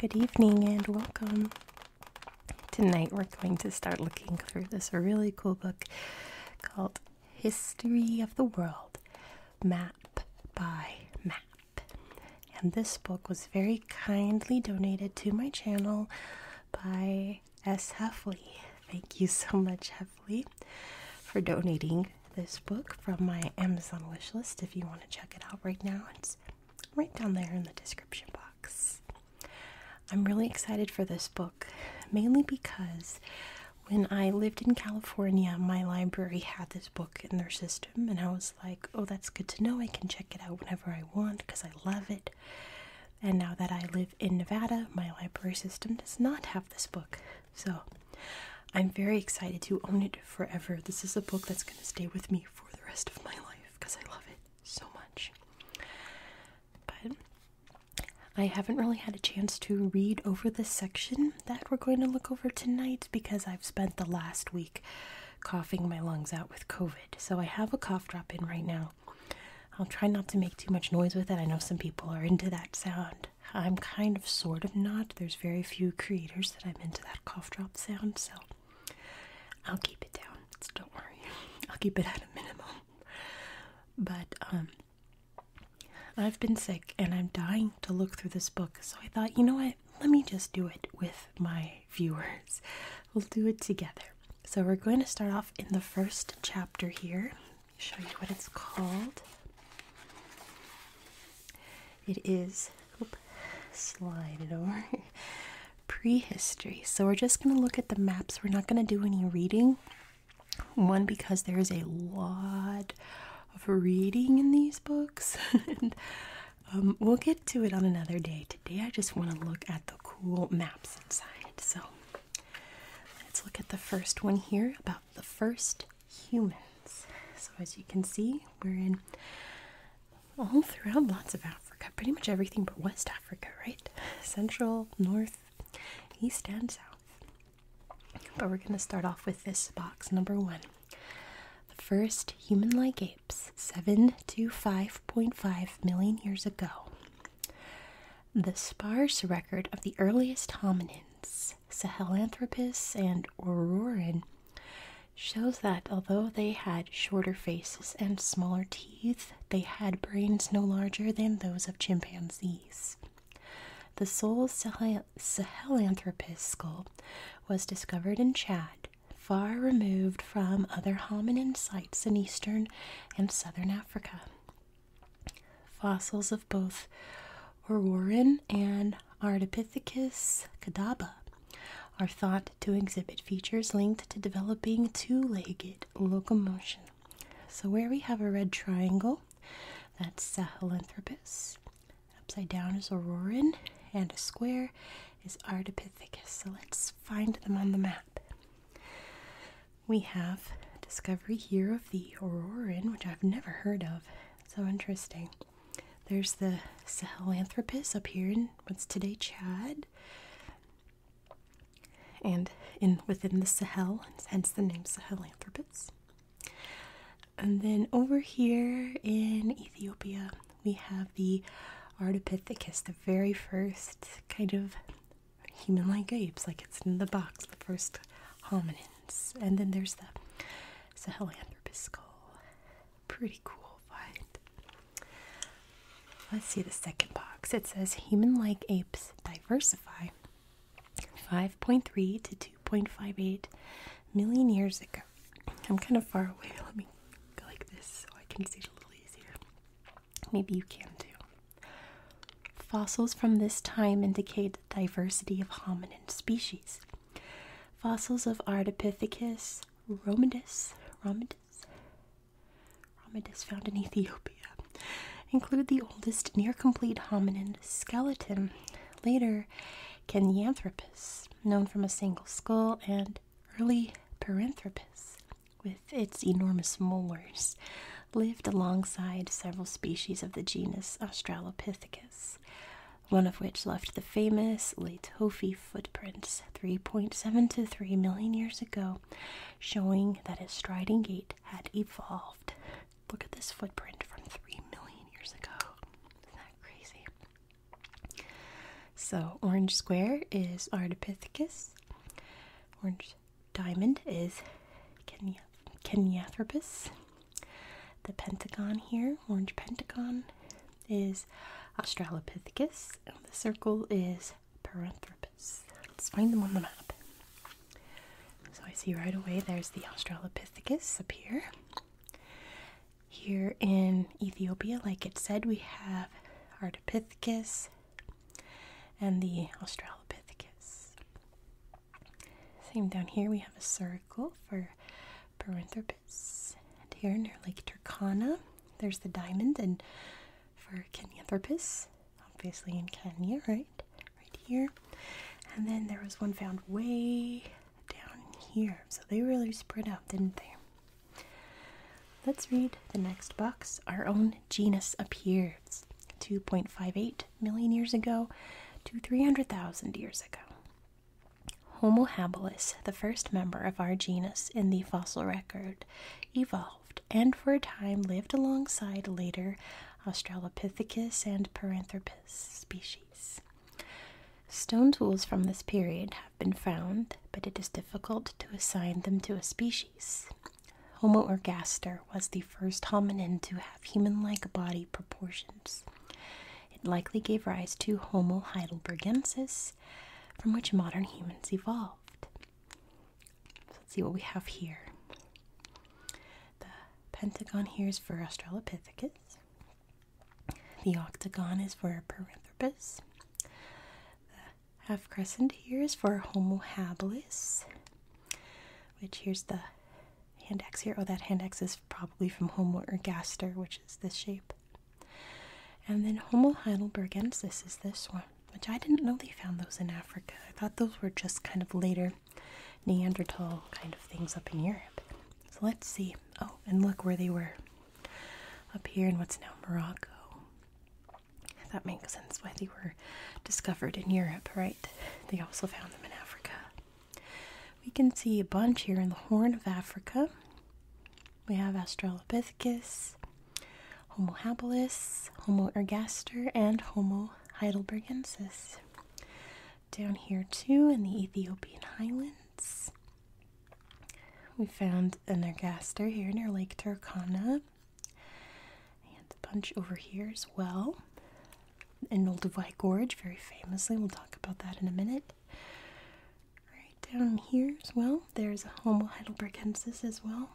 Good evening and welcome. Tonight we're going to start looking through this really cool book called History of the World, Map by Map. And this book was very kindly donated to my channel by S. Heffley. Thank you so much, Heffley, for donating this book from my Amazon wish list. If you want to check it out right now, it's right down there in the description box. I'm really excited for this book mainly because when I lived in California, my library had this book in their system, and I was like, oh, that's good to know. I can check it out whenever I want because I love it. And now that I live in Nevada, my library system does not have this book. So I'm very excited to own it forever. This is a book that's going to stay with me for the rest of my life because I love it so much. But I haven't really had a chance to read over this section that we're going to look over tonight because I've spent the last week coughing my lungs out with COVID. So I have a cough drop in right now. I'll try not to make too much noise with it. I know some people are into that sound. I'm kind of sort of not. There's very few creators that I'm into that cough drop sound, so I'll keep it down. don't worry. I'll keep it at a minimum. But um I've been sick and I'm dying to look through this book, so I thought, you know what? Let me just do it with my viewers. We'll do it together. So we're going to start off in the first chapter here. Show you what it's called. It is oops, slide it over. Prehistory. So we're just going to look at the maps. We're not going to do any reading. One, because there is a lot of reading in these books, and um, we'll get to it on another day. Today, I just want to look at the cool maps inside. So, let's look at the first one here about the first humans. So, as you can see, we're in all throughout lots of Africa, pretty much everything but West Africa, right? Central, North, East, and South. But we're going to start off with this box number one. The first human like apes, 7 to 5.5 million years ago. The sparse record of the earliest hominins, Sahelanthropus and Aurorin, shows that although they had shorter faces and smaller teeth, they had brains no larger than those of chimpanzees. The sole Sahelanthropus skull was discovered in Chad, far removed from other hominin sites in eastern and southern Africa. Fossils of both Orwarin and Ardipithecus kadaba are thought to exhibit features linked to developing two-legged locomotion. So where we have a red triangle, that's Sahelanthropus. Upside down is Aurorin, and a square is Ardipithecus. So let's find them on the map. We have discovery here of the Aurorin, which I've never heard of. So interesting. There's the Sahelanthropus up here in what's today Chad and in within the Sahel, hence the name Sahelanthropus. And then over here in Ethiopia, we have the Ardipithecus, the very first kind of human like apes, like it's in the box, the first hominins. And then there's the Sahelanthropus skull. Pretty cool find. Let's see the second box. It says human like apes diversify 5.3 to 2.58 million years ago. I'm kind of far away. Let me go like this so I can see it a little easier. Maybe you can too. Fossils from this time indicate diversity of hominin species. Fossils of Ardipithecus romidus, romidus, romidus found in Ethiopia, include the oldest near complete hominid skeleton, later Kenyanthropus, known from a single skull, and early Paranthropus, with its enormous molars, lived alongside several species of the genus Australopithecus, one of which left the famous Laetoffi footprints 3.7 to 3 million years ago showing that his striding gait had evolved. Look at this footprint from three million years ago. Isn't that crazy? So, orange square is Ardipithecus, orange diamond is Kenyathropus. The pentagon here, orange pentagon, is Australopithecus, and the circle is Paranthropus. Let's find them on the map. So I see right away there's the Australopithecus up here. Here in Ethiopia, like it said, we have Ardipithecus and the Australopithecus. Same down here, we have a circle for Paranthropus. And here near Lake Turkana, there's the diamond, and for Kenyanthropus, obviously in Kenya, right? Right here. And then there was one found way down here. So they really spread out, didn't they? Let's read the next box. Our own genus appears 2.58 million years ago to 300,000 years ago. Homo habilis, the first member of our genus in the fossil record, evolved and for a time lived alongside later Australopithecus and Paranthropus species. Stone tools from this period have been found, but it is difficult to assign them to a species. Homo ergaster was the first hominin to have human like body proportions. It likely gave rise to Homo heidelbergensis, from which modern humans evolved let's see what we have here. The pentagon here is for Australopithecus. The octagon is for Paranthropus. The half crescent here is for Homo habilis, which here's the hand axe here. Oh, that hand axe is probably from Homo ergaster, which is this shape. And then Homo heidelbergensis is this one which I didn't know they found those in Africa. I thought those were just kind of later Neanderthal kind of things up in Europe. So let's see. Oh, and look where they were up here in what's now Morocco. That makes sense why they were discovered in Europe, right? They also found them in Africa. We can see a bunch here in the Horn of Africa. We have Australopithecus, Homo habilis, Homo ergaster, and Homo heidelbergensis. Down here, too, in the Ethiopian highlands, we found an ergaster here near Lake Turkana, and a bunch over here as well. In Nolduvai Gorge, very famously, we'll talk about that in a minute. Right down here as well, there's a Homo heidelbergensis as well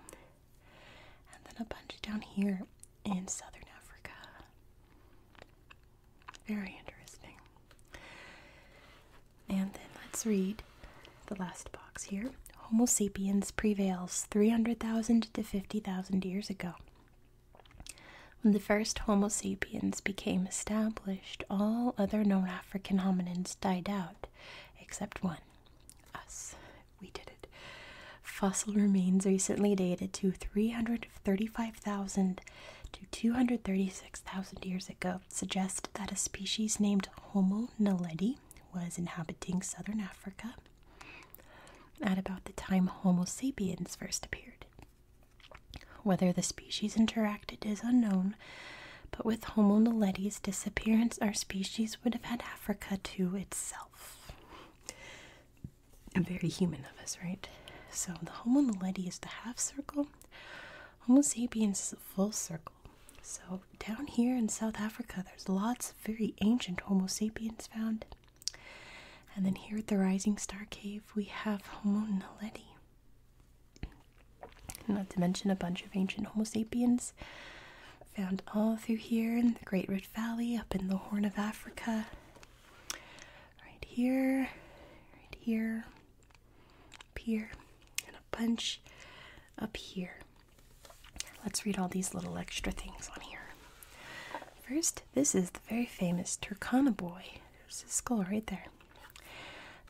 and then a bunch down here in southern Africa. Very interesting. And then let's read the last box here. Homo sapiens prevails 300,000 to 50,000 years ago. When the first Homo sapiens became established, all other known African hominins died out, except one us. We did it. Fossil remains recently dated to 335,000 to 236,000 years ago suggest that a species named Homo naledi was inhabiting southern Africa at about the time Homo sapiens first appeared. Whether the species interacted is unknown, but with Homo naledi's disappearance, our species would have had Africa to itself and very human of us, right? So the Homo naledi is the half circle. Homo sapiens full circle. So down here in South Africa, there's lots of very ancient Homo sapiens found. And then here at the Rising Star Cave, we have Homo naledi. Not to mention a bunch of ancient Homo sapiens Found all through here in the Great Rift Valley, up in the Horn of Africa. Right here, right here, up here, and a bunch up here. Let's read all these little extra things on here. First, this is the very famous Turkana boy. There's the skull right there.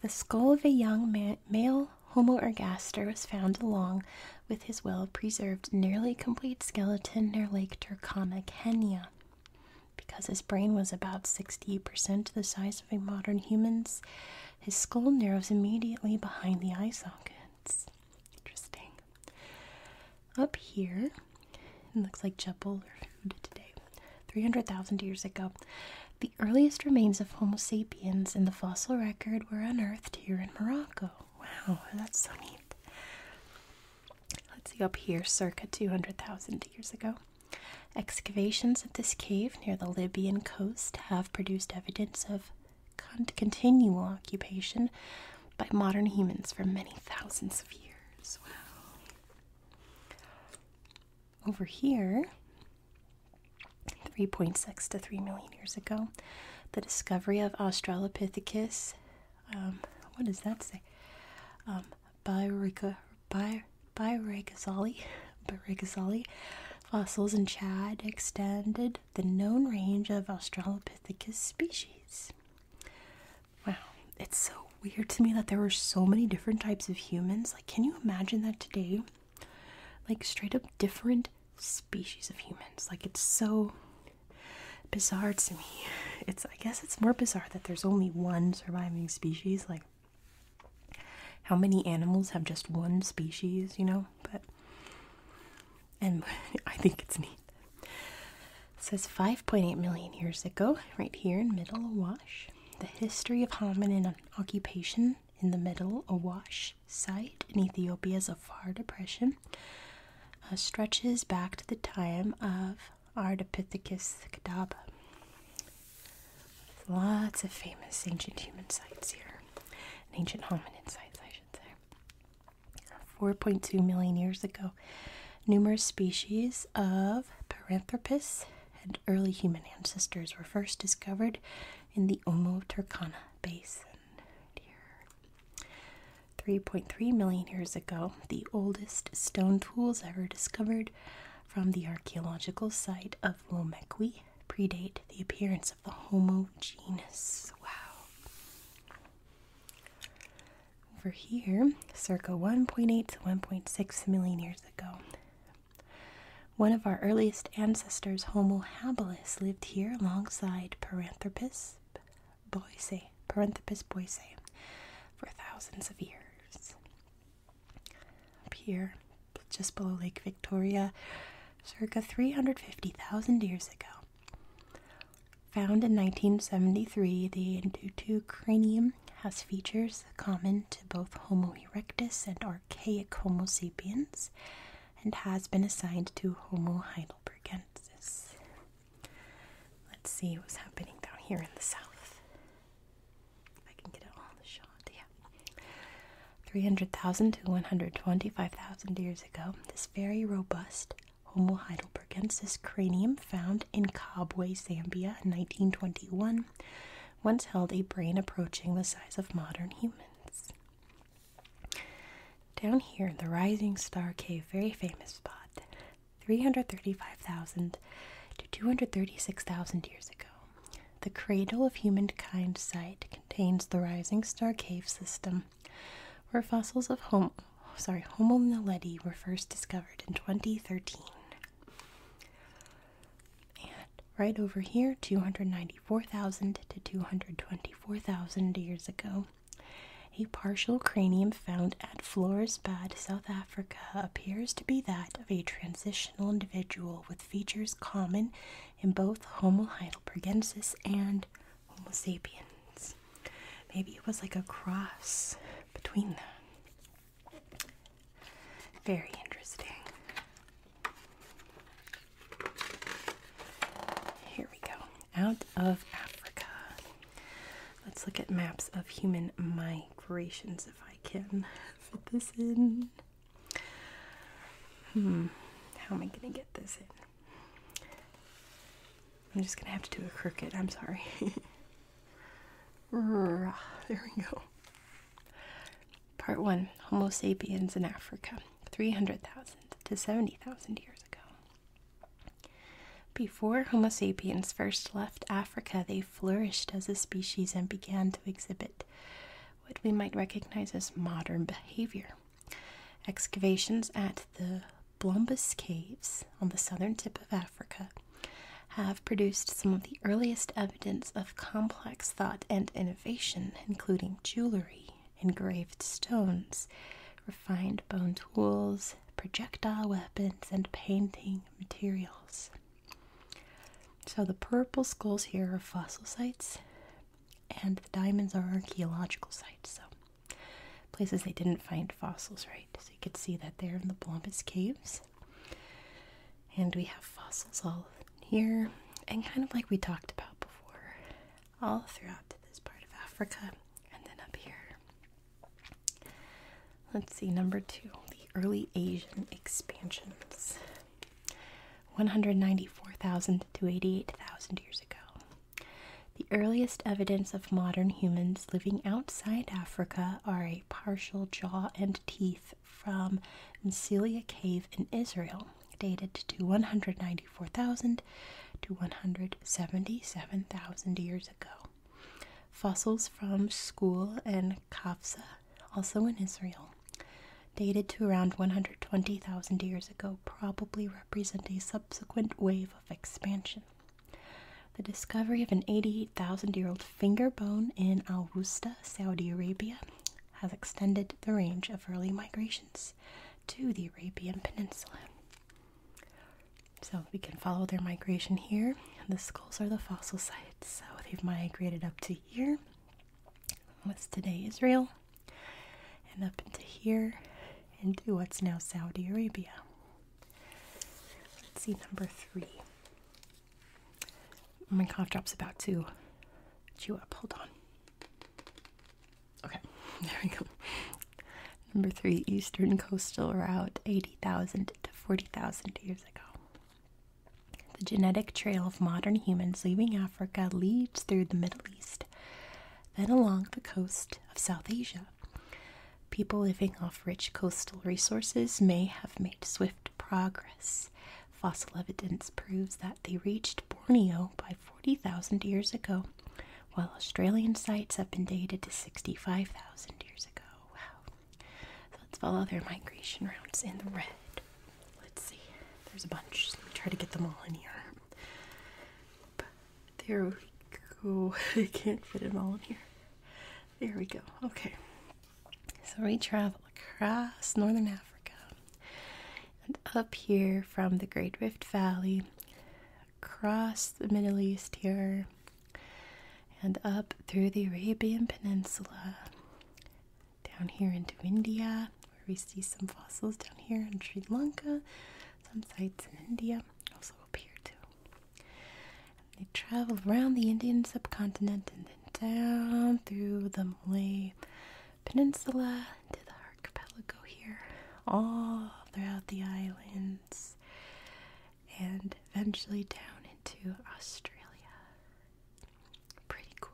The skull of a young ma male Homo ergaster was found along with his well preserved, nearly complete skeleton near Lake Turkana, Kenya. Because his brain was about sixty percent the size of a modern human's, his skull narrows immediately behind the eye sockets. Interesting. Up here, it looks like Jebel or Huda today, 300,000 years ago, the earliest remains of Homo sapiens in the fossil record were unearthed here in Morocco. Wow, that's so neat. Let's see up here, circa 200,000 years ago. Excavations of this cave near the Libyan coast have produced evidence of continual occupation by modern humans for many thousands of years. Over here, 3.6 to 3 million years ago, the discovery of Australopithecus. Um, what does that say? Um, Byrica, by, Byricazoly, Byricazoly fossils in Chad extended the known range of Australopithecus species. Wow, it's so weird to me that there were so many different types of humans. Like, can you imagine that today? Like, straight up different species of humans. Like, it's so bizarre to me. It's I guess it's more bizarre that there's only one surviving species. Like how many animals have just one species, you know? But and I think it's neat. says 5.8 million years ago, right here in Middle Awash, the history of hominin occupation in the Middle Awash site in Ethiopia's Afar Depression uh, stretches back to the time of Ardipithecus Kadaba. Lots of famous ancient human sites here, and ancient hominin sites, I should say. 4.2 million years ago, numerous species of Paranthropus and early human ancestors were first discovered in the Omo Turkana Basin. 3.3 million years ago, the oldest stone tools ever discovered from the archaeological site of Lomekwi predate the appearance of the Homo genus. Wow. Over here, circa 1.8 to 1.6 million years ago, one of our earliest ancestors, Homo habilis, lived here alongside Paranthropus boise, Paranthropus boise, for thousands of years. Up here, just below Lake Victoria, circa 350,000 years ago. Found in 1973, the Indutu cranium has features common to both Homo erectus and archaic Homo sapiens and has been assigned to Homo heidelbergensis. Let's see what's happening down here in the south. I can get it all the shot, yeah. 300,000 to 125,000 years ago, this very robust Homo heidelbergensis cranium found in Kabwe, Zambia in 1921 once held a brain approaching the size of modern humans. Down here, the Rising Star Cave, very famous spot, 335,000 to 236,000 years ago. The cradle of humankind site contains the Rising Star Cave system, where fossils of Homo, sorry, Homo naledi were first discovered in 2013. And right over here, 294,000 to 224,000 years ago, a partial cranium found at Floresbad, South Africa, appears to be that of a transitional individual with features common in both Homo heidelbergensis and Homo sapiens. Maybe it was like a cross between them. Very interesting. Here we go out of Africa. Let's look at maps of human migrations if I can fit this in. Hmm, how am I going to get this in? I'm just going to have to do a crooked. I'm sorry. there we go. Part 1 Homo sapiens in Africa. 300,000 to 70,000 years ago. Before Homo sapiens first left Africa, they flourished as a species and began to exhibit what we might recognize as modern behavior. Excavations at the Blombos Caves on the southern tip of Africa have produced some of the earliest evidence of complex thought and innovation, including jewelry engraved stones, refined bone tools, projectile weapons, and painting materials. So the purple skulls here are fossil sites, and the diamonds are archaeological sites. So places they didn't find fossils, right? So you could see that there in the Blombus caves. And we have fossils all here, and kind of like we talked about before, all throughout this part of Africa and then up here. Let's see, number two, the early Asian expansions 194,000 to 88,000 years ago. The earliest evidence of modern humans living outside Africa are a partial jaw and teeth from Msilia Cave in Israel dated to 194,000 to 177,000 years ago. Fossils from School and Kafsa, also in Israel, dated to around 120,000 years ago, probably represent a subsequent wave of expansion. The discovery of an 88,000 year old finger bone in Al Wusta, Saudi Arabia, has extended the range of early migration to the Arabian Peninsula. So we can follow their migration here. The skulls are the fossil sites, so they've migrated up to here, what's today Israel, and up into here, into what's now Saudi Arabia. Let's see number three. My cough drop's about to chew up. Hold on. Okay, there we go. Number three, Eastern Coastal Route, 80,000 to 40,000 years ago. The genetic trail of modern humans leaving Africa leads through the Middle East, then along the coast of South Asia. People living off rich coastal resources may have made swift progress. Fossil evidence proves that they reached Borneo by 40,000 years ago, while Australian sites have been dated to 65,000 years ago. Wow. So let's follow their migration routes in the red. Let's see. There's a bunch. Let me try to get them all in here. There we go. I can't fit them all in here. There we go. Okay. So we travel across northern Africa and up here from the Great Rift Valley, across the Middle East here, and up through the Arabian Peninsula, down here into India, where we see some fossils down here in Sri Lanka, some sites in India, also appear too. they travel around the Indian subcontinent and then down through the Malay Peninsula to the archipelago here, all throughout the islands, and eventually down into Australia. Pretty cool.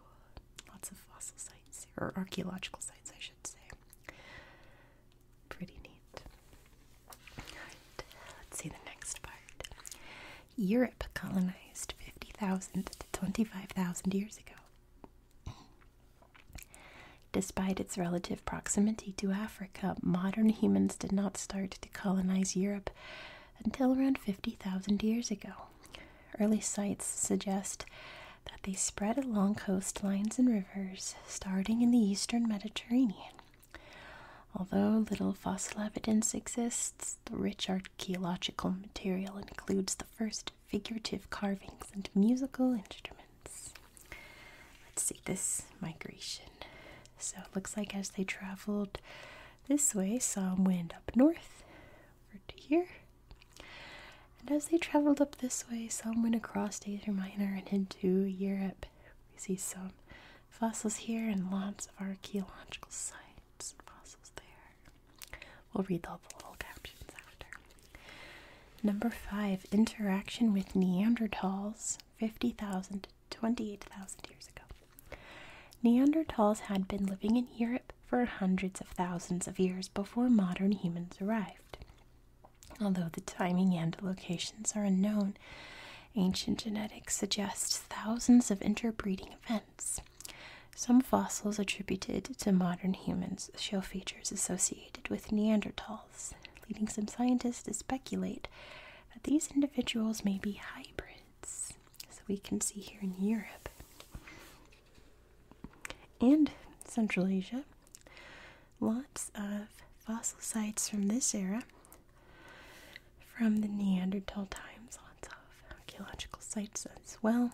Lots of fossil sites, or archaeological sites, I should say. Pretty neat. let's see the next part. Europe colonized 50,000 to 25,000 years ago. Despite its relative proximity to Africa, modern humans did not start to colonize Europe until around 50,000 years ago. Early sites suggest that they spread along coastlines and rivers, starting in the eastern Mediterranean. Although little fossil evidence exists, the rich archaeological material includes the first figurative carvings and musical instruments. Let's see this migration. So it looks like as they traveled this way, some went up north over to here. And as they traveled up this way, some went across Asia Minor and into Europe. We see some fossils here and lots of archaeological sites and fossils there. We'll read all the little captions after. Number five, interaction with Neanderthals 50,000 28,000 years ago. Neanderthals had been living in Europe for hundreds of thousands of years before modern humans arrived. Although the timing and locations are unknown, ancient genetics suggests thousands of interbreeding events. Some fossils attributed to modern humans show features associated with Neanderthals, leading some scientists to speculate that these individuals may be hybrids, So we can see here in Europe and Central Asia. Lots of fossil sites from this era, from the Neanderthal times, lots of archaeological sites as well.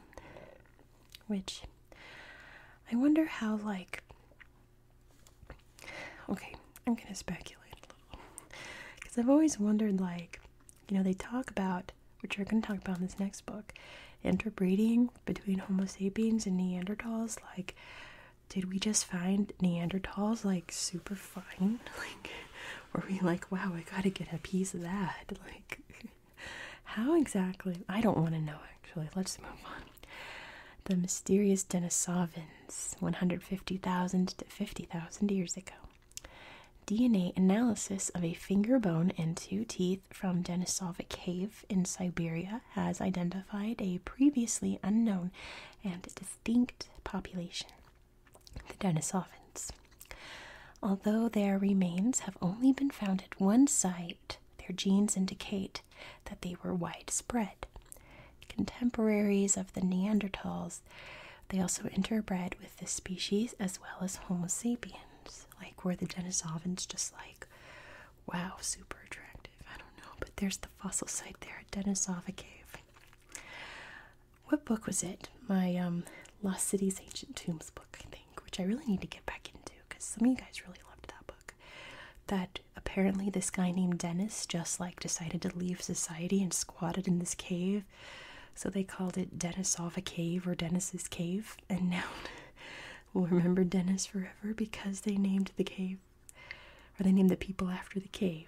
Which I wonder how, like, okay, I'm gonna speculate a little because I've always wondered, like, you know, they talk about which we're gonna talk about in this next book interbreeding between Homo sapiens and Neanderthals. Like, did we just find Neanderthals like super fine? Like, were we like, wow, I gotta get a piece of that? Like, how exactly? I don't want to know actually. Let's move on. The mysterious Denisovans, 150,000 to 50,000 years ago. DNA analysis of a finger bone and two teeth from Denisova Cave in Siberia has identified a previously unknown and distinct population, the Denisovans. Although their remains have only been found at one site their genes indicate that they were widespread. Contemporaries of the Neanderthals, they also interbred with this species as well as Homo sapiens. Like, were the Denisovans just like, wow, super attractive? I don't know, but there's the fossil site there at Denisova Cave. What book was it? My um, Lost Cities Ancient Tombs book, I think, which I really need to get back into because some of you guys really loved that book. That apparently this guy named Dennis just like decided to leave society and squatted in this cave. So they called it Denisova Cave or Dennis's Cave. And now we'll remember Dennis forever because they named the cave or they named the people after the cave.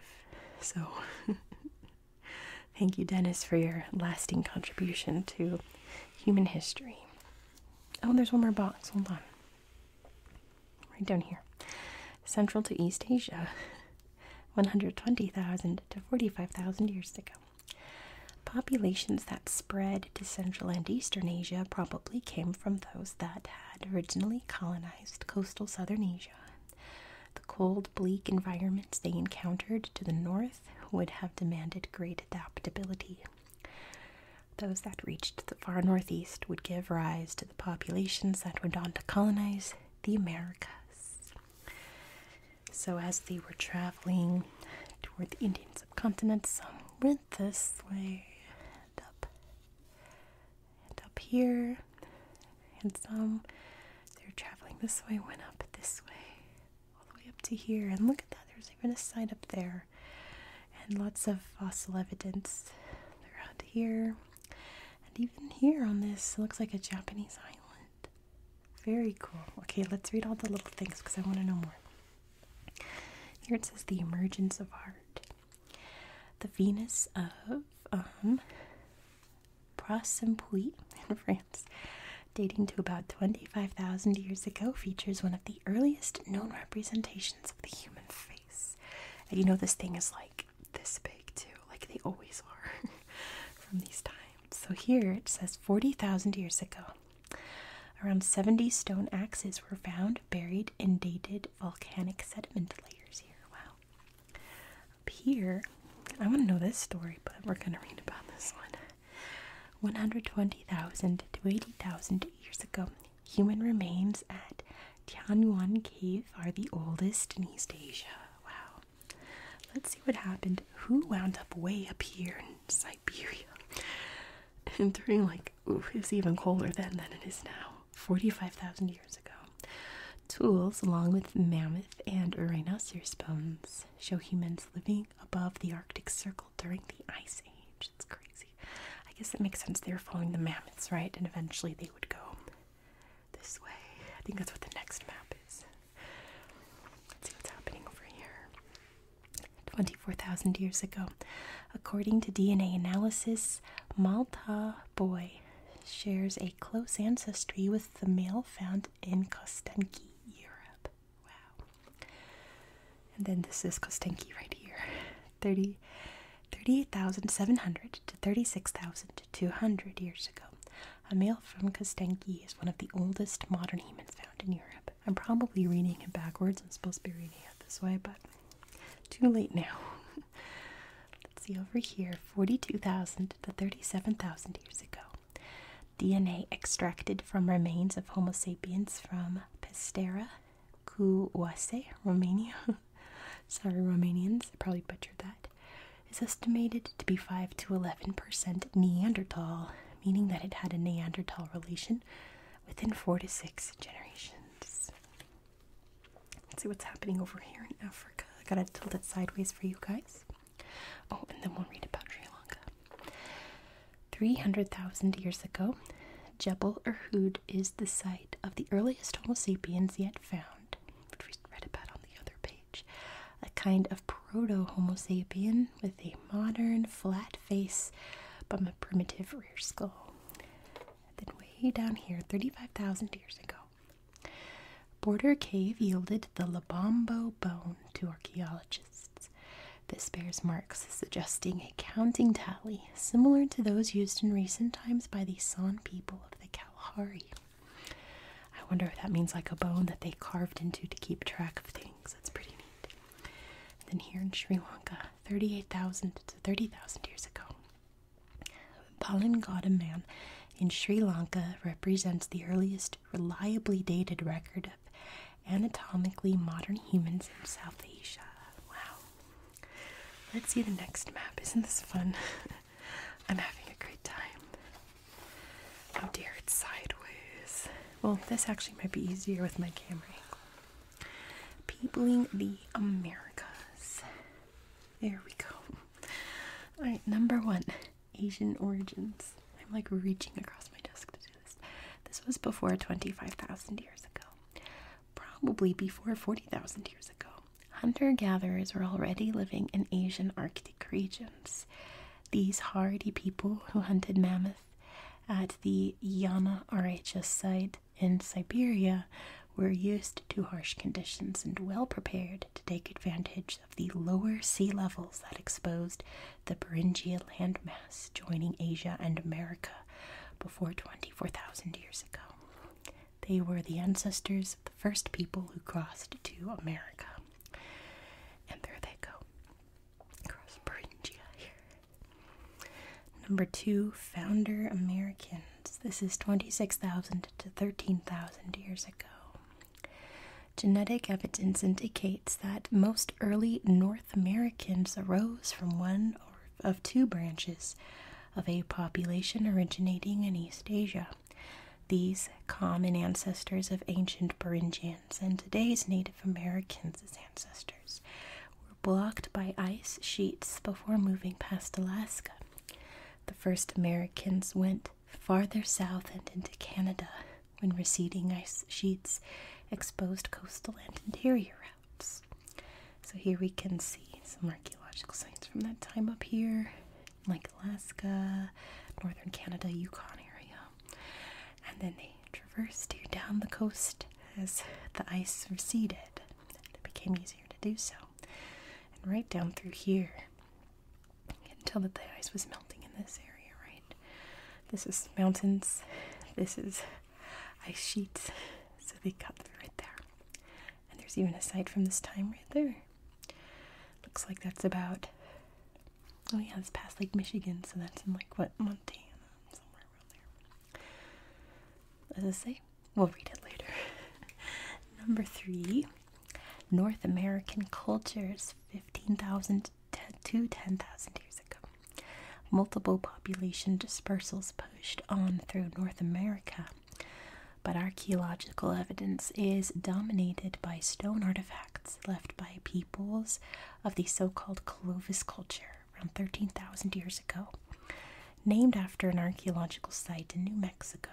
So thank you, Dennis, for your lasting contribution to human history. Oh, there's one more box. Hold on. Right down here. Central to East Asia, 120,000 to 45,000 years ago. Populations that spread to Central and Eastern Asia probably came from those that had originally colonized coastal Southern Asia. The cold, bleak environments they encountered to the north would have demanded great adaptability. Those that reached the far northeast would give rise to the populations that went on to colonize the Americas. So, as they were traveling toward the Indian subcontinent, some went this way and up and up here, and some they were traveling this way, went up this way all the way up to here. And look at that, there's even a sign up there. And lots of fossil evidence around here. And even here on this, looks like a Japanese island. Very cool. Okay, let's read all the little things because I want to know more. Here it says the emergence of art. The Venus of um, Prassempouy in France dating to about 25,000 years ago, features one of the earliest known representations of the human face. you know, this thing is like this big too, like they always are from these times. So here it says 40,000 years ago, around 70 stone axes were found buried in dated volcanic sediment layers here. Wow. Up here, I want to know this story, but we're going to read about this one. 120,000 to 80,000 years ago. Human remains at Tianyuan Cave are the oldest in East Asia. Wow. Let's see what happened. Who wound up way up here in Siberia? And during like, ooh, it's even colder then than it is now. 45,000 years ago. Tools, along with mammoth and rhinoceros bones, show humans living above the Arctic Circle during the Ice Age. It's crazy. I guess it makes sense. They were following the mammoths, right? And eventually they would go this way. I think that's what the next map is. Let's see what's happening over here. 24,000 years ago, according to DNA analysis, Malta boy shares a close ancestry with the male found in Kostenki, Europe. Wow. And then this is Kostenki right here. 30 to 36,200 years ago. A male from Kostenki is one of the oldest modern humans found in Europe. I'm probably reading it backwards. I'm supposed to be reading it this way, but too late now. Let's see over here 42,000 to 37,000 years ago. DNA extracted from remains of Homo sapiens from Pestera Cuoase, Romania. Sorry, Romanians, I probably butchered that. Is estimated to be 5 to 11% Neanderthal, meaning that it had a Neanderthal relation within 4 to 6 generations. Let's see what's happening over here in Africa. I gotta tilt it sideways for you guys. Oh, and then we'll read about Sri Lanka. 300,000 years ago, Jebel Erhud is the site of the earliest Homo sapiens yet found, which we read about on the other page, a kind of proto Homo sapien with a modern flat face but a primitive rear skull. And then, way down here, 35,000 years ago, Border Cave yielded the Labombo bone to archaeologists archaeologists. This bears marks suggesting a counting tally similar to those used in recent times by the San people of the Kalahari. I wonder if that means like a bone that they carved into to keep track of things. That's pretty neat. then here in Sri Lanka, 38,000 to 30,000 years ago, Palangada man in Sri Lanka represents the earliest reliably dated record of anatomically modern humans in South Asia. Wow. Let's see the next map. Isn't this fun? I'm having a great time. Oh dear, it's sideways. Well, this actually might be easier with my camera angle. Peopling the Americas. There we go. Alright, number one Asian origins. I'm like reaching across my desk to do this. was before 25,000 years ago, probably before 40,000 years ago. Hunter gatherers were already living in Asian Arctic regions. These hardy people who hunted mammoth at the Yana RHS site in Siberia were used to harsh conditions and well prepared to take advantage of the lower sea levels that exposed the Beringia landmass joining Asia and America before 24,000 years ago. They were the ancestors of the first people who crossed to America. And there they go. Across Beringia Number two, founder Americans. This is 26,000 to 13,000 years ago. Genetic evidence indicates that most early North North Americans arose from one of two branches of a population originating in East Asia. These common ancestors of ancient Beringians and today's Native Americans ancestors were blocked by ice sheets before moving past Alaska. The first Americans went farther south and into Canada, when receding ice sheets exposed coastal and interior routes. So here we can see some archaeological sites from that time up here, like Alaska, northern Canada, Yukon area. And then they traversed down the coast as the ice receded. it became easier to do so. And right down through here, you can tell that the ice was melting in this area, right? This is mountains. This is ice sheets. So they cut them right there. And there's even a site from this time right there. Looks like that's about, oh yeah, it's past Lake Michigan. So that's in like what, Montana, somewhere around there. Does it say? We'll read it later. Number three. North American cultures, 15,000 Two ten thousand years ago. Multiple population dispersals pushed on through North America, but archaeological evidence is dominated by stone artifacts left by peoples of the so called Clovis culture around 13,000 years ago. Named after an archaeological site in New Mexico,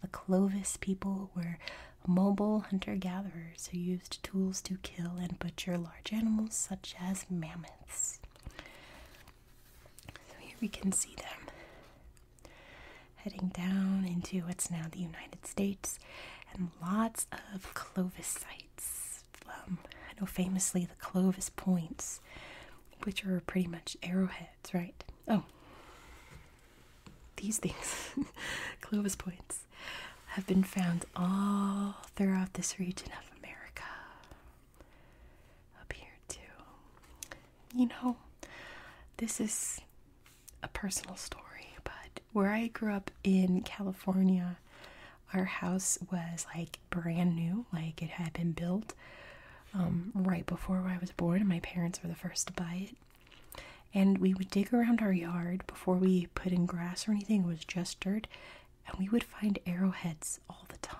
the Clovis people were mobile hunter gatherers who used tools to kill and butcher large animals such as mammoths. So here we can see them heading down into what's now the United States and lots of Clovis sites. I know famously the Clovis points, which are pretty much arrowheads, right? Oh, these things, Clovis points have been found all throughout this region of America. Up here, too. You know, this is a personal story, but where I grew up in California, our house was like brand new, like it had been built um, right before I was born, and my parents were the first to buy it and we would dig around our yard before we put in grass or anything, was just dirt, and we would find arrowheads all the time.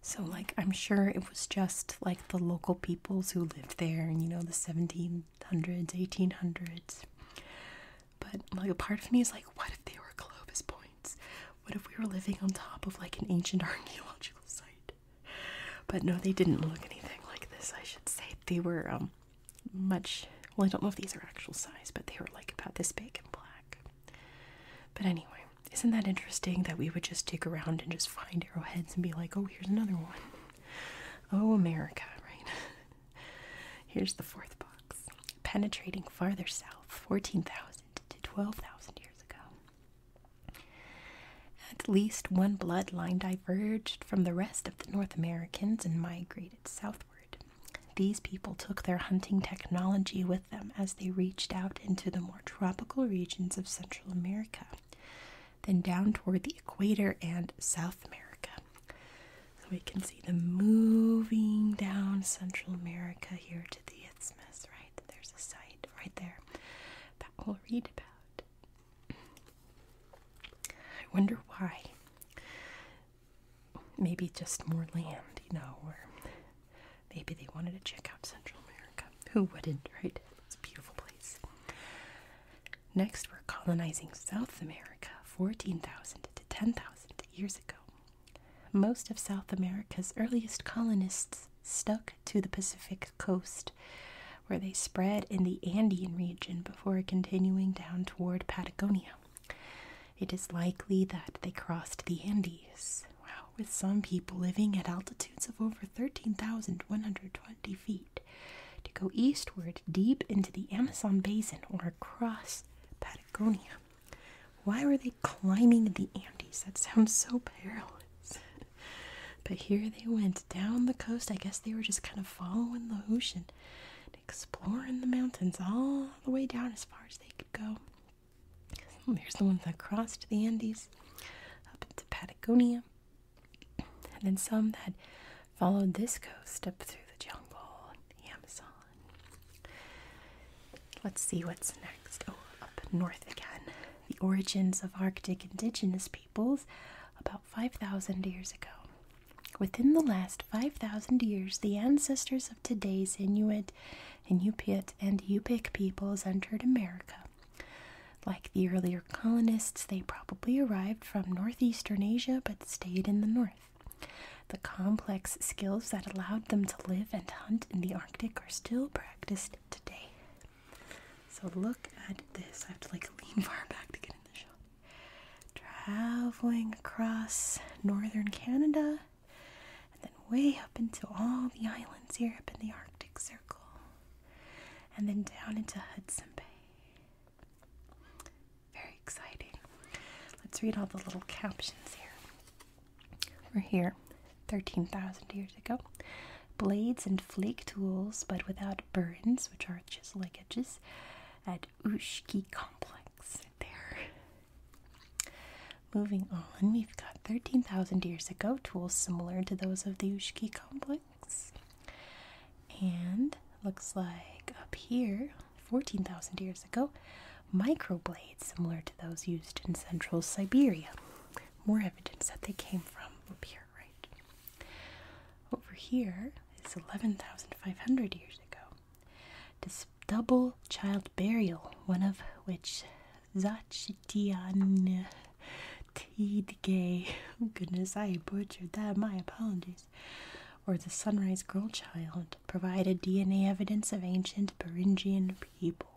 So, like, I'm sure it was just like the local peoples who lived there and you know, the 1700s, 1800s. But, like, a part of me is like, what if they were Clovis points? What if we were living on top of like an ancient archaeological site? But no, they didn't look anything like this, I should say. They were um, much well I don't know if these are actual size, but they were like about this big and black. But anyway, isn't that interesting that we would just dig around and just find arrowheads and be like, oh here's another one. Oh America, right? here's the fourth box. Penetrating farther south, fourteen thousand to twelve thousand years ago. At least one bloodline di diverged from the rest of the North Americans and migrated southward. These people took their hunting technology with them as they reached out into the more tropical regions of Central America, then down toward the equator and South America. we can see them moving down Central America here to the isthmus, right? There's a site right there that we'll read about I wonder why. Maybe just more land, you know, or maybe they wanted to check out Central America. Who wouldn't, right? It's a beautiful place. Next, we're colonizing South America 14,000 to 10,000 years ago. Most of South America's earliest colonists stuck to the Pacific coast where they spread in the Andean region before continuing down toward Patagonia. It is likely that they crossed the Andes, wow, with some people living at altitudes of over 13,120 feet, to go eastward deep into the Amazon basin or across Patagonia. Why were they climbing the Andes? That sounds so perilous. but here they went down the coast. I guess they were just kind of following the ocean exploring the mountains all the way down as far as they could go. there's the ones that crossed the Andes up into Patagonia, and then some that followed this coast up through the jungle the Amazon. Let's see what's next. Oh, up north again. The origins of Arctic indigenous people peoples about 5,000 years ago. Within the last 5,000 years, the ancestors of today's Inuit, Inupiat, and Yupik peoples entered America. Like the earlier colonists, they probably arrived from northeastern Asia but stayed in the north. The complex skills that allowed them to live and hunt in the Arctic are still practiced today. So look at this. I have to like lean far back to get in the shot traveling across northern Canada and then way up into all the islands here up in the Arctic Circle and then down into Hudson Bay. Very exciting. Let's read all the little captions here. We're here 13,000 years ago. Blades and flake tools, but without burns, which are just like edges at Ushki Complex there. Moving on, we've got 13,000 years ago tools similar to those of the Ushki Complex. And looks like up here, 14,000 years ago, microblades similar to those used in central Siberia. More evidence that they came from up here, right? Over here is 11,500 years ago. This double child burial, one of which Zachtian Tidge, oh goodness, I butchered that, my apologies, or the Sunrise Girl Child, provided DNA evidence of ancient Beringian people.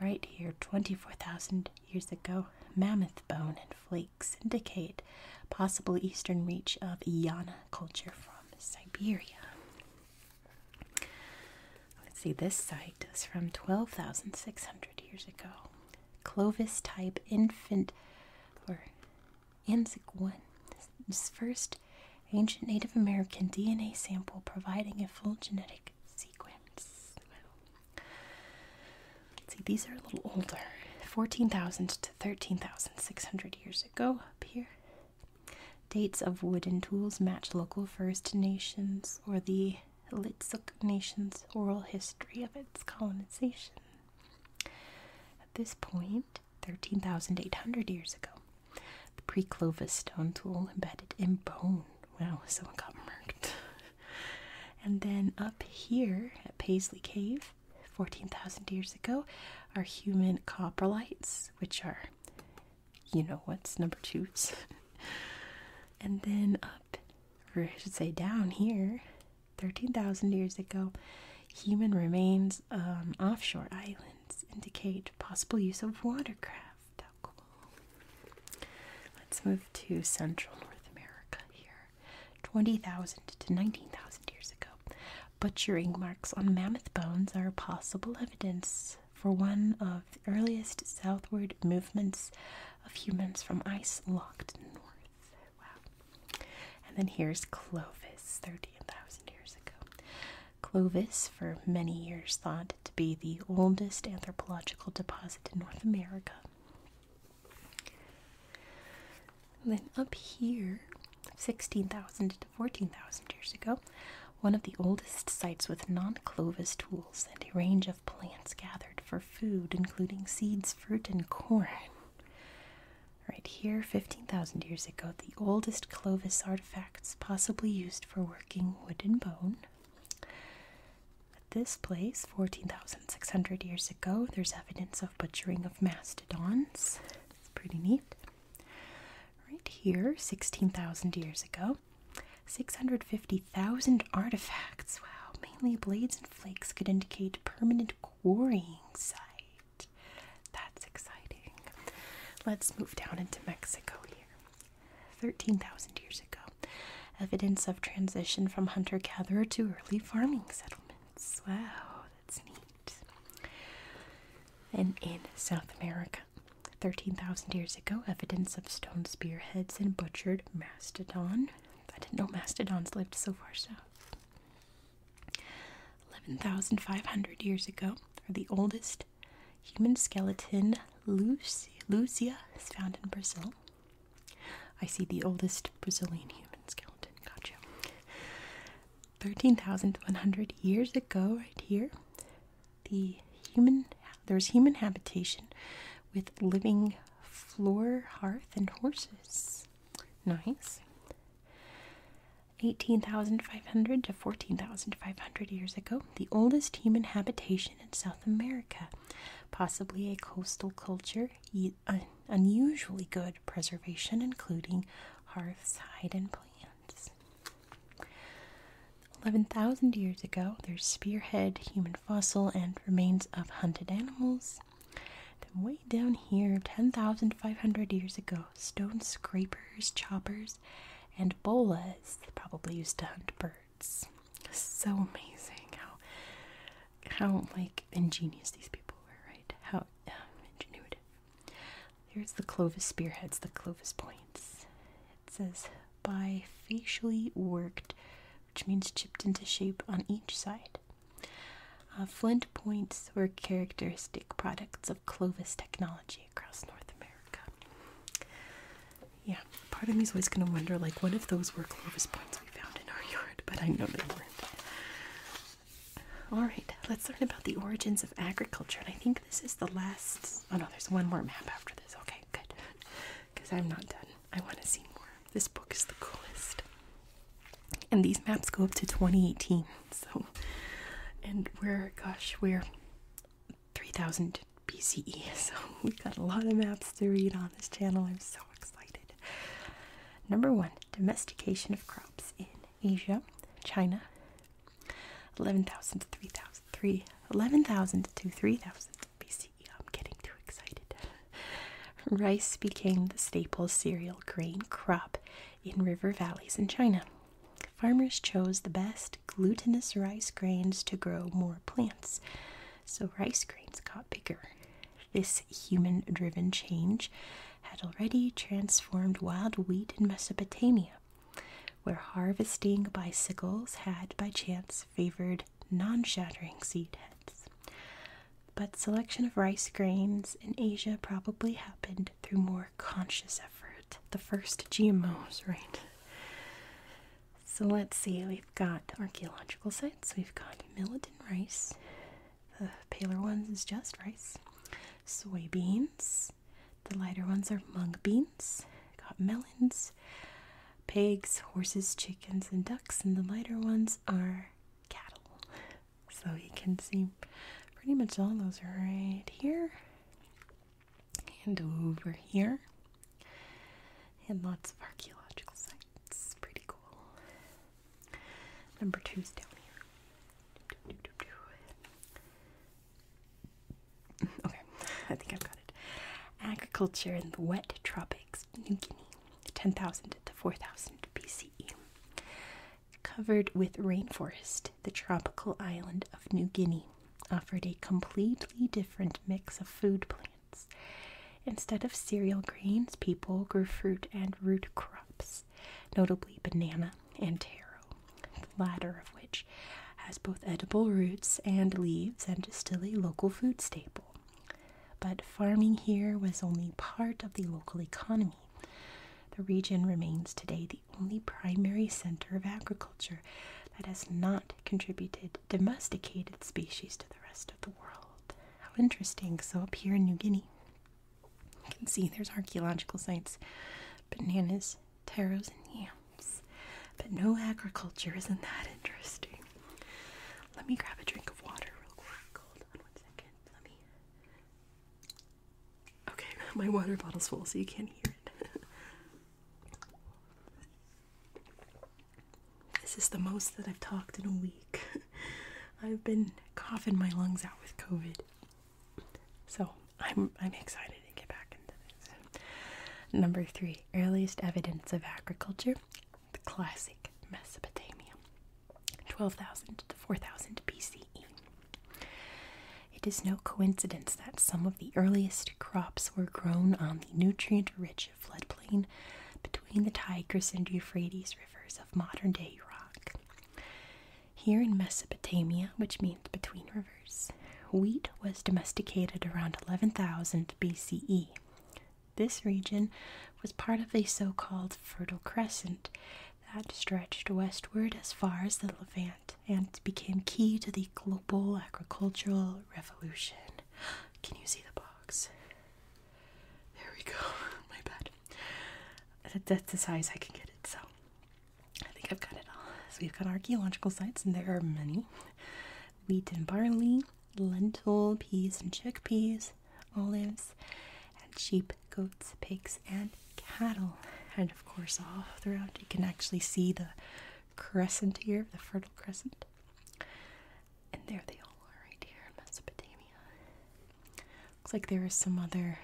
right here, 24,000 years ago, mammoth bone and flake flakes possible eastern reach of Yana culture from Siberia. Let's see, this site is from 12,600 years ago. Clovis type infant or Anziguan is first ancient Native American DNA sample providing a full genetic sequence see, these are a little older 14,000 to 13,600 years ago up here. Dates of wooden tools match local First Nations or the Litsuk Nation's oral history of its colonization. At this point, 13,800 years ago, the pre Clovis stone tool embedded in bone. Wow, someone got marked and then up here at Paisley Cave, 14,000 years ago, are human coprolites, which are, you know what's, number twos. and then up, or I should say down here, 13,000 years ago, human remains um, offshore islands indicate possible use of watercraft. Let's move to Central North America here. 20,000 to 19,000 years ago. Butchering marks on mammoth bones are possible evidence for one of the earliest southward movements of humans from ice locked north. Wow. And then here's Clovis, 13,000 years ago. Clovis, for many years, thought to be the oldest anthropological deposit in North America. And then up here, 16,000 to 14,000 years ago, one of the oldest sites with non Clovis tools and a range of plants gathered for food, including seeds, fruit, and corn. Right here, 15,000 years ago, the oldest Clovis artifacts possibly used for working wood and bone. At this place, 14,600 years ago, there's evidence of butchering of mastodons. It's pretty neat. Right here, 16,000 years ago, 650,000 artifacts. Wow, mainly blades and flakes could indicate permanent quarrying site. That's exciting. Let's move down into Mexico here. 13,000 years ago, Evidence of transition from hunter gatherer to early farming settlements. Wow, that's neat. And in South America, 13,000 years ago, evidence of stone spearheads and butchered mastodon. I didn't know mastodons lived so far south. 11,500 years ago, or the oldest human skeleton, Lucia, Lucia, is found in Brazil. I see the oldest Brazilian human skeleton. Gotcha. 13,100 years ago, right here, the human there's human habitation with living floor, hearth, and horses. Nice. 18,500 to 14,500 years ago, the oldest human habitation in South America, possibly a coastal culture, see unusually good preservation, including hearths, hide, and plants. 11,000 years ago, there's spearhead, human fossil, and remains of hunted animals. Then, way down here, 10,500 years ago, stone scrapers, choppers, and bolas probably used to hunt birds so amazing how how like ingenious these people were, right? How um, ingenuitive. Here's the Clovis spearheads, the Clovis points. It says by facially worked, which means chipped into shape on each side. Uh, flint points were characteristic products of Clovis technology across North America. Yeah, part of me's always going to wonder, like, what if those were Clovis points? we found in our yard, but I know they weren't. Alright, let's learn about the origins of agriculture. And I think this is the last. Oh no, there's one more map after this. Okay, good. Because I'm not done. I want to see more. This book is the coolest. And these maps go up to 2018. So, and we're, gosh, we're 3000 BCE. So, we've got a lot of maps to read on this channel. I'm so excited. Number one, domestication of crops in Asia, China, 11,000 to 3,000 three. Eleven thousand 11, to 3,000 BCE. I'm getting too excited. Rice became the staple cereal grain crop in river valleys in China. Farmers chose the best glutinous rice grains to grow more plants, so rice grains got bigger this human driven change had already transformed wild wheat in Mesopotamia, where harvesting bicycles had by chance favored non shattering seed heads. But selection of rice grains in Asia probably happened through more conscious effort. The first GMOs, right? So let's see, we've got archaeological sites. We've got millet and rice. The paler ones is just rice. Soybeans. The lighter ones are mung beans. Got melons, pigs, horses, chickens, and ducks. And the lighter ones are cattle. So you can see pretty much all those right here and over here and lots of archaeological sites. Pretty cool. Number two's down here. Okay, I think I've got it. Agriculture in the wet tropics, New Guinea, 10,000 to 4,000 BCE. Covered with rainforest, the tropical island of New Guinea offered a completely different mix of food plants Instead of cereal grains, people grew fruit and root crops, notably banana and taro, the latter of which has both edible roots and leaves and is still a local food staple. But farming here was only part of the local economy. The region remains today the only primary center of agriculture that has not contributed domesticated species to the rest of the world. How interesting. So, up here in New Guinea, you can see there's archaeological sites bananas, taros, and yams. But no agriculture. Isn't that interesting? Let me grab a drink of water real quick. Hold on one second. Let me. Okay, my water bottle's full, so you can't hear it. This is the most that I've talked in a week. I've been coughing my lungs out with COVID. So I'm I'm excited to get back into this. Number three, earliest evidence of agriculture, the classic Mesopotamia, 12,000 to 4,000 BCE. It is no coincidence that some of the earliest crops were grown on the nutrient rich floodplain between the Tigris and Euphrates rivers of modern day Iraq. Here in Mesopotamia, which means between rivers, wheat was domesticated around 11,000 BCE. This region was part of a so called Fertile Crescent that stretched westward as far as the Levant and became key to the global agricultural revolution. Can you see the box? There we go. My bad. That's the size I can get it. So I think I've got it all. So we've got archaeological sites, and there are many: wheat and barley, lentil, peas and chickpeas, olives, and sheep, goats, pigs, and cattle. And of course, all throughout you can actually see the crescent here, the Fertile Crescent. And there they all are right here in Mesopotamia. Looks like there is some other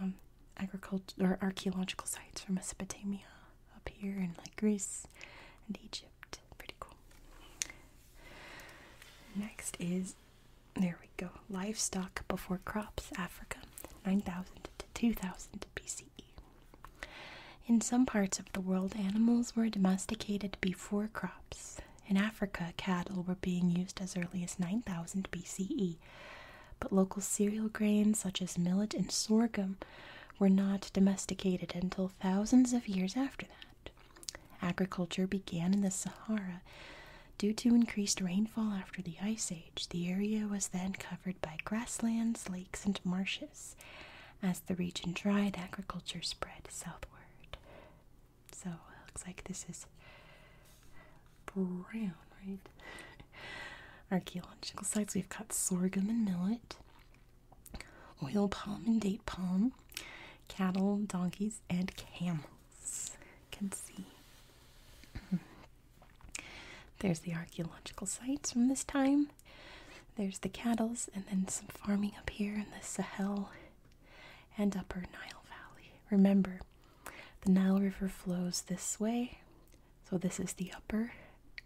um, agricultural or archaeological sites from Mesopotamia up here in like Greece and Egypt. Pretty cool. Next is there we go. Livestock before crops, Africa, 9000 to 2000 BCE. In some parts of the world, animals were domesticated before crops. In Africa, cattle were being used as early as 9000 BCE, but local cereal grains such as millet and sorghum were not domesticated until thousands of years after that. Agriculture began in the Sahara. Due to increased rainfall after the Ice Age, the area was then covered by grasslands, lakes, and marshes. As the region dried, agriculture spread southward. So it looks like this is brown, right? Archaeological sites we've got sorghum and millet, oil palm and date palm, cattle, donkeys, and camels. You can see. There's the archaeological sites from this time. There's the cattles, and then some farming up here in the Sahel and upper Nile Valley. Remember, the Nile River flows this way, so this is the upper,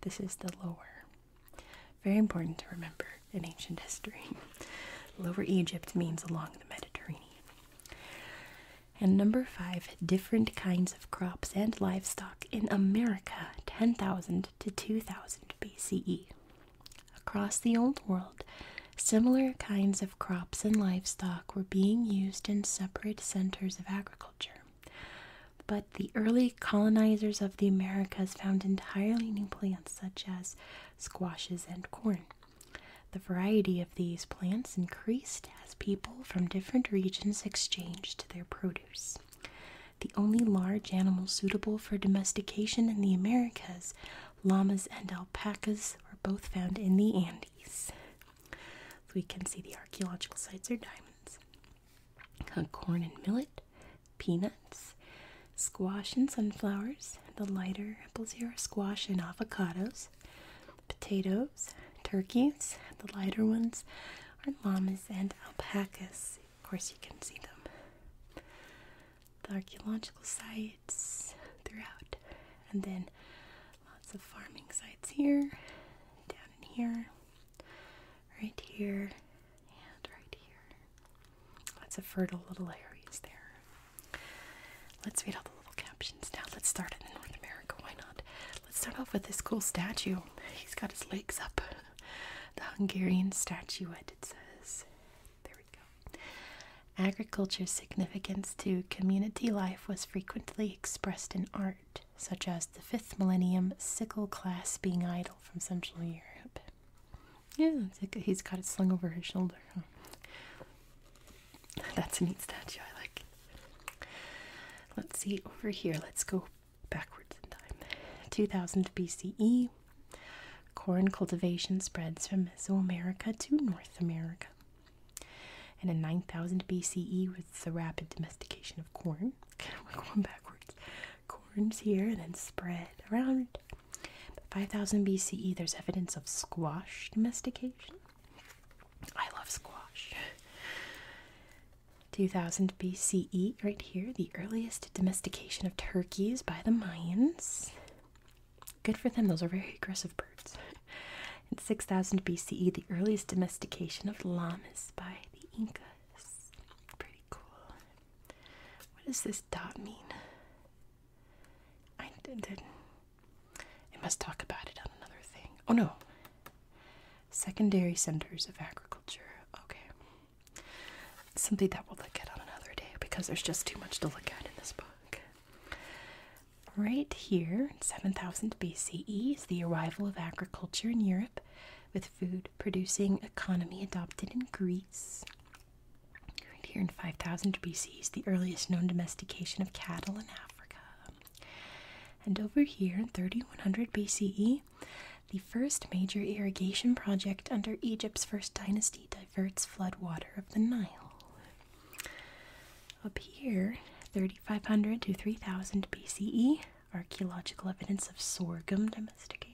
this is the lower. Very important to remember in ancient history. Lower Egypt means along the Mediterranean. And number five, different kinds of crops and livestock in America 10,000 to 2000 BCE. Across the Old World, similar kinds of crops and livestock were being used in separate centers of agriculture. But the early colonizers of the Americas found entirely new plants such as squashes and corn. The variety of these plants increased as people from different regions exchanged their produce the only large animals suitable for domestication in the Americas. Llamas and alpacas are both found in the Andes. we can see the archaeological sites are diamonds. Corn and millet, peanuts, squash and sunflowers. The lighter apples here are squash and avocados. Potatoes, turkeys, the lighter ones are llamas and alpacas. Of course, you can see them. The archaeological sites throughout, and then lots of farming sites here, down in here, right here, and right here. Lots of fertile little areas there. Let's read all the little captions now. Let's start in North America, why not? Let's start off with this cool statue. He's got his legs up. The Hungarian statue it says, there we go. Agriculture's significance to community life was frequently expressed in art, such as the fifth millennium sickle class being idol from Central Europe. Yeah, he's got it slung over his shoulder. That's a neat statue, I like. Let's see, over here, let's go backwards in time. 2000 BCE, corn cultivation spreads from Mesoamerica to North America. And in 9000 BCE, with the rapid domestication of corn, we're going backwards, corn's here and then spread around. 5000 BCE, there's evidence of squash domestication. I love squash. 2000 BCE, right here the earliest domestication of turkeys by the Mayans. Good for them, those are very aggressive birds. In 6000 BCE, the earliest domestication of llamas by the Incas. Pretty cool. What does this dot mean? I did. not I must talk about it on another thing. Oh no. Secondary centers of agriculture. Okay something that we'll look at on another day because there's just too much to look at in this book. Right here, 7000 BCE, is the arrival of agriculture in Europe, with food producing economy adopted in Greece. Right here in 5000 BCE is the earliest known domestication of cattle in Africa. And over here in 3100 BCE, the first major irrigation project under Egypt's first dynasty diverts flood water of the Nile. Up here, 3500 to 3000 BCE, archaeological evidence of sorghum domestication.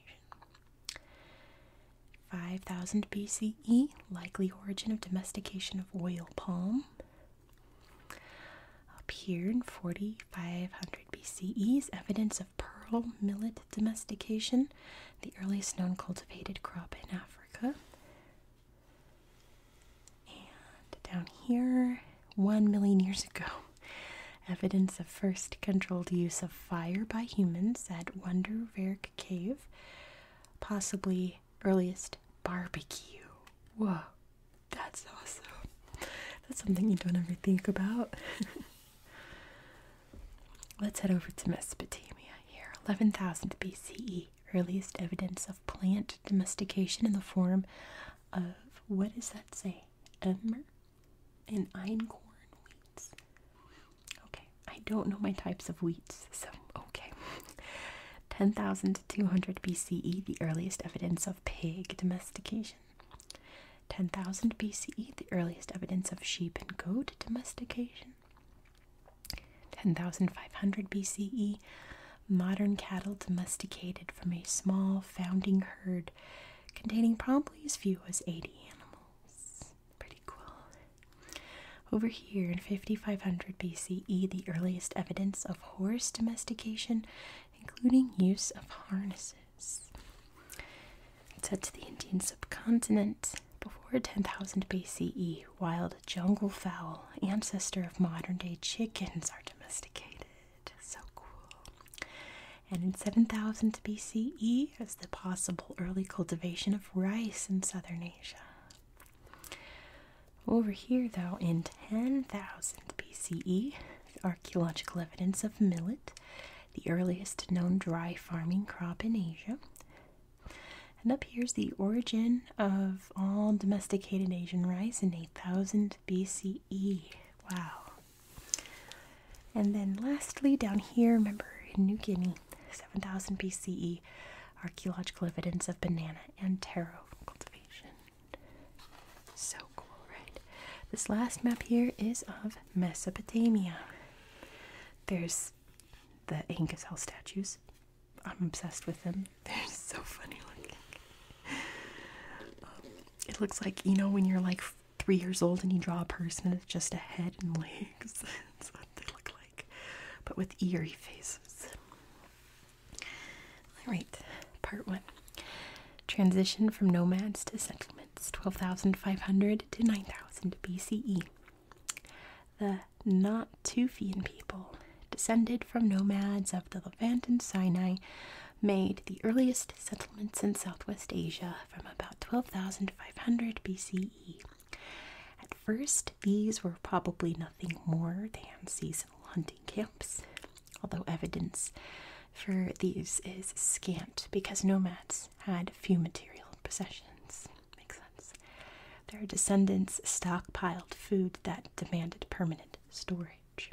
5000 BCE, likely origin of domestication of oil palm. Up here in 4500 BCE is evidence pearl millet domestication, the earliest known cultivated crop in Africa. And down here, one million years ago, evidence of first controlled use of fire by humans at Wonderwerk Cave, possibly earliest barbecue. Whoa, that's awesome. That's something you don't ever think about. Let's head over to Mesopotamia here. 11,000 BCE, earliest evidence of plant domestication in the form of what does that say? Emmer and einkorn wheats. Okay, I don't know my types of wheats, so okay. 10,200 BCE, the earliest evidence of pig domestication. 10,000 BCE, the earliest evidence of sheep and goat domestication. 10,500 BCE, modern cattle domesticated from a small founding herd containing probably as few as 80 animals. Pretty cool. Over here in 5500 BCE, the earliest evidence of horse domestication, including use of harnesses. Genesis. So to the Indian subcontinent, before 10,000 BCE, wild jungle fowl, ancestor of modern day chickens, are domesticated. So cool. And in 7000 BCE is the possible early cultivation of rice in southern Asia. Over here, though, in 10,000 BCE, archaeological evidence of millet the earliest known dry farming crop in Asia. And up here's the origin of all domesticated Asian rice in 8000 BCE. Wow. And then lastly, down here, remember in New Guinea, 7000 BCE, archaeological evidence of banana and taro cultivation. So cool, right? This last map here is of Mesopotamia. There's the Angasel statues. I'm obsessed with them. They're so funny looking. Um, it looks like, you know, when you're like three years old and you draw a person with just a head and legs. what they look like. But with eerie faces. Alright, part one. Transition from nomads to settlements settlements 12,500 to 9,000 BCE. The Natufian people, descended from nomads of the Levant and Sinai, made the earliest settlements in Southwest Asia from about 12,500 BCE. At first, these were probably nothing more than seasonal hunting camps, although evidence for these is scant because nomads had few material possessions. Makes sense. Their descendants stockpiled food that demanded permanent storage.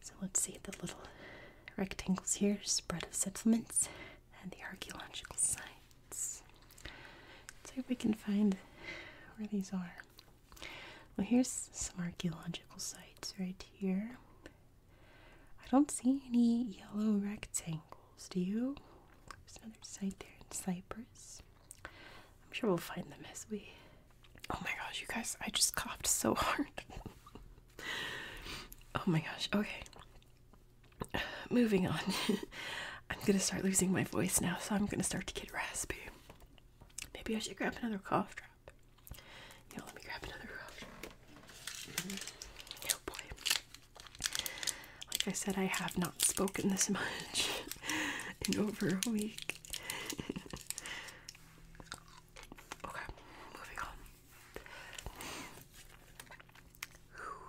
So let's see the little rectangles here spread of settlements and the archaeological sites. Let's see if we can find where these are. Well, here's some archaeological sites right here. I don't see any yellow rectangles, do you? There's another site there in Cyprus. I'm sure we'll find them as we. Oh my gosh, you guys, I just coughed so hard. oh my gosh, okay. moving on. I'm gonna start losing my voice now, so I'm gonna start to get raspy. Maybe I should grab another cough drop crap. let me grab another Oh boy. Like I said, I have not spoken this much in over a week. okay, moving on.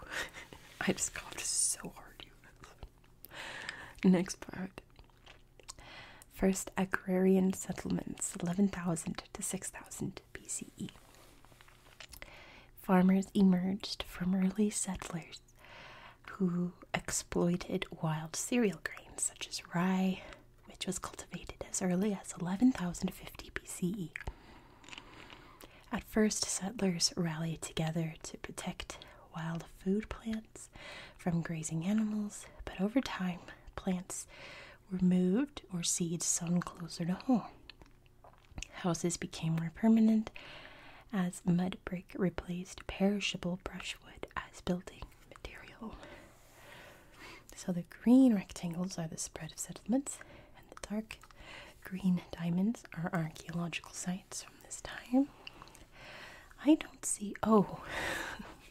I just coughed so hard, Next part. First agrarian settlements, 11,000 to 6,000 Farmers emerged from early settlers who exploited wild cereal grains such as rye, which was cultivated as early as 11,050 BCE. At first, settlers rallied together to protect wild food plants from grazing animals, but over time, plants were moved or seeds sown closer to home. Houses became more permanent as mud brick replaced perishable brushwood as building material. So the green rectangles are the spread of settlements, and the dark green diamonds are archaeological sites from this time. I don't see. Oh,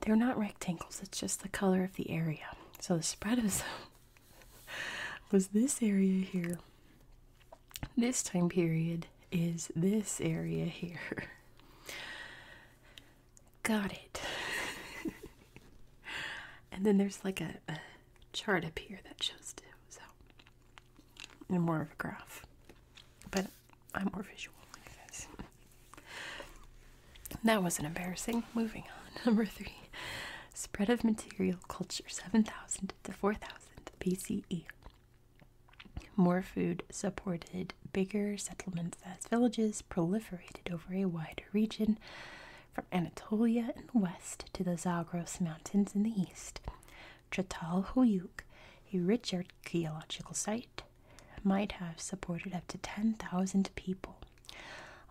They're not rectangles, it's just the color of the area. So the spread of was this area here. This time period is this area here. Got it. and then there's like a, chart up here that shows too, so and more of a graph. But I'm more visual like this. That wasn't embarrassing. Moving on. Number three spread of material culture 7000 to 4000 BCE. More food supported bigger settlements as villages proliferated over a wider region from Anatolia in the west to the Zagros Mountains in the east. Chatal Hoyuk, a rich archaeological site, might have supported up to 10,000 people.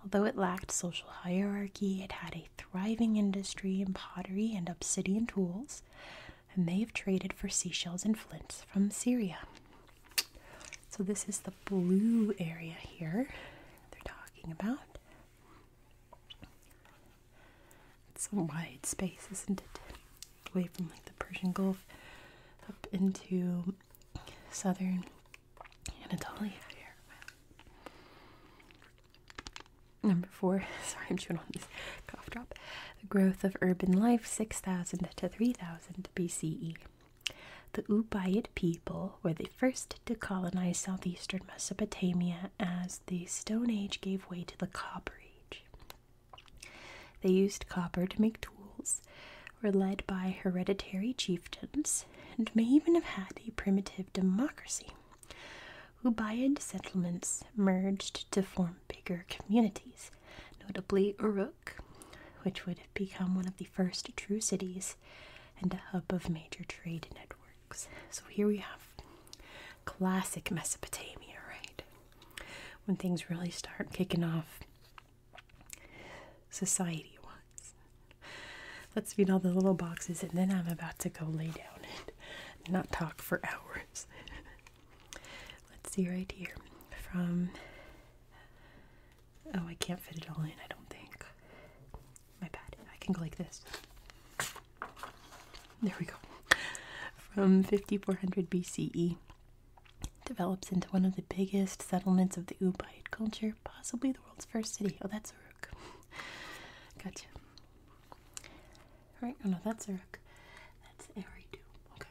Although it lacked social hierarchy, it had a thriving industry in pottery and obsidian tools, and they have traded for seashells and flints from Syria. So, this is the blue area here they're talking about. It's a wide space, isn't it? Away from like the Persian Gulf up into southern Anatolia here. Number four, sorry, I'm chewing on this cough drop. The growth of urban life 6000 to 3000 BCE. The Ubaid people were the first to colonize southeastern Mesopotamia as the Stone Age gave way to the Copper Age. They used copper to make tools were led by hereditary chieftains and may even have had a primitive democracy. Ubaid settlements merged to form bigger communities, notably Uruk, which would become one of the first true cities and a hub of major trade networks. So here we have classic Mesopotamia, right? When things really start kicking off Society wants. Let's feed all the little boxes, and then I'm about to go lay down and not talk for hours. Let's see right here from. Oh, I can't fit it all in, I don't think. My bad. I can go like this. There we go. From 5400 BCE develops into one of the biggest settlements of the Ubaid culture, possibly the world's first city. Oh, that's Uruk. gotcha. Right? Oh no, that's Uruk. That's Eridu. Okay.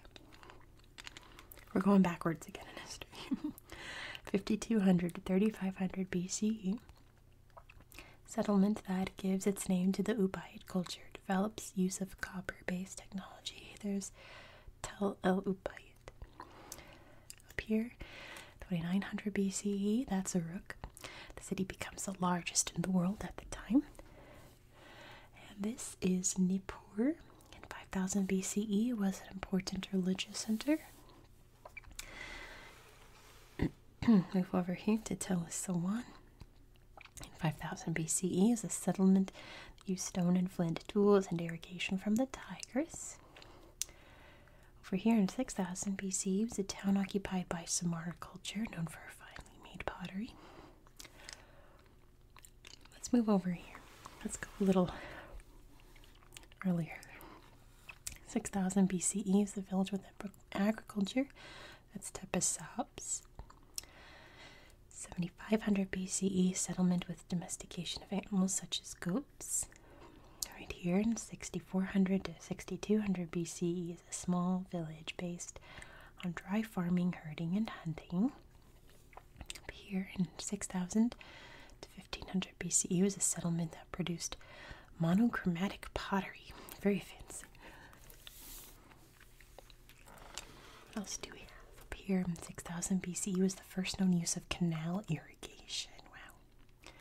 We're going backwards again in history. 5200 3500 BCE. Settlement that gives its name to the Ubaid culture develops use of copper based technology. There's is Tel El Ubaid. Up here, 2900 BCE, that's Uruk. The city becomes the largest in the world at the time. And this is Nippur. In 5000 BCE, it was an important religious center. Move over here to Tel Sawan. In 5000 BCE is a settlement use stone and flint tools and irrigation from the Tigris. Over here in 6000 BCE, it was a town occupied by Samar culture, known for finely made pottery. Let's move over here. Let's go a little earlier. 6000 BCE is the village with agriculture. That's Tepesaps. 7500 BCE settlement with domestication of animals such as goats. Right here in 6400 to 6200 BCE is a small village based on dry farming, herding, and hunting. Up here in 6000 to 1500 BCE is a settlement that produced monochromatic pottery. Very fancy. What else do we have up here? 6000 BCE was the first known use of canal irrigation. Wow.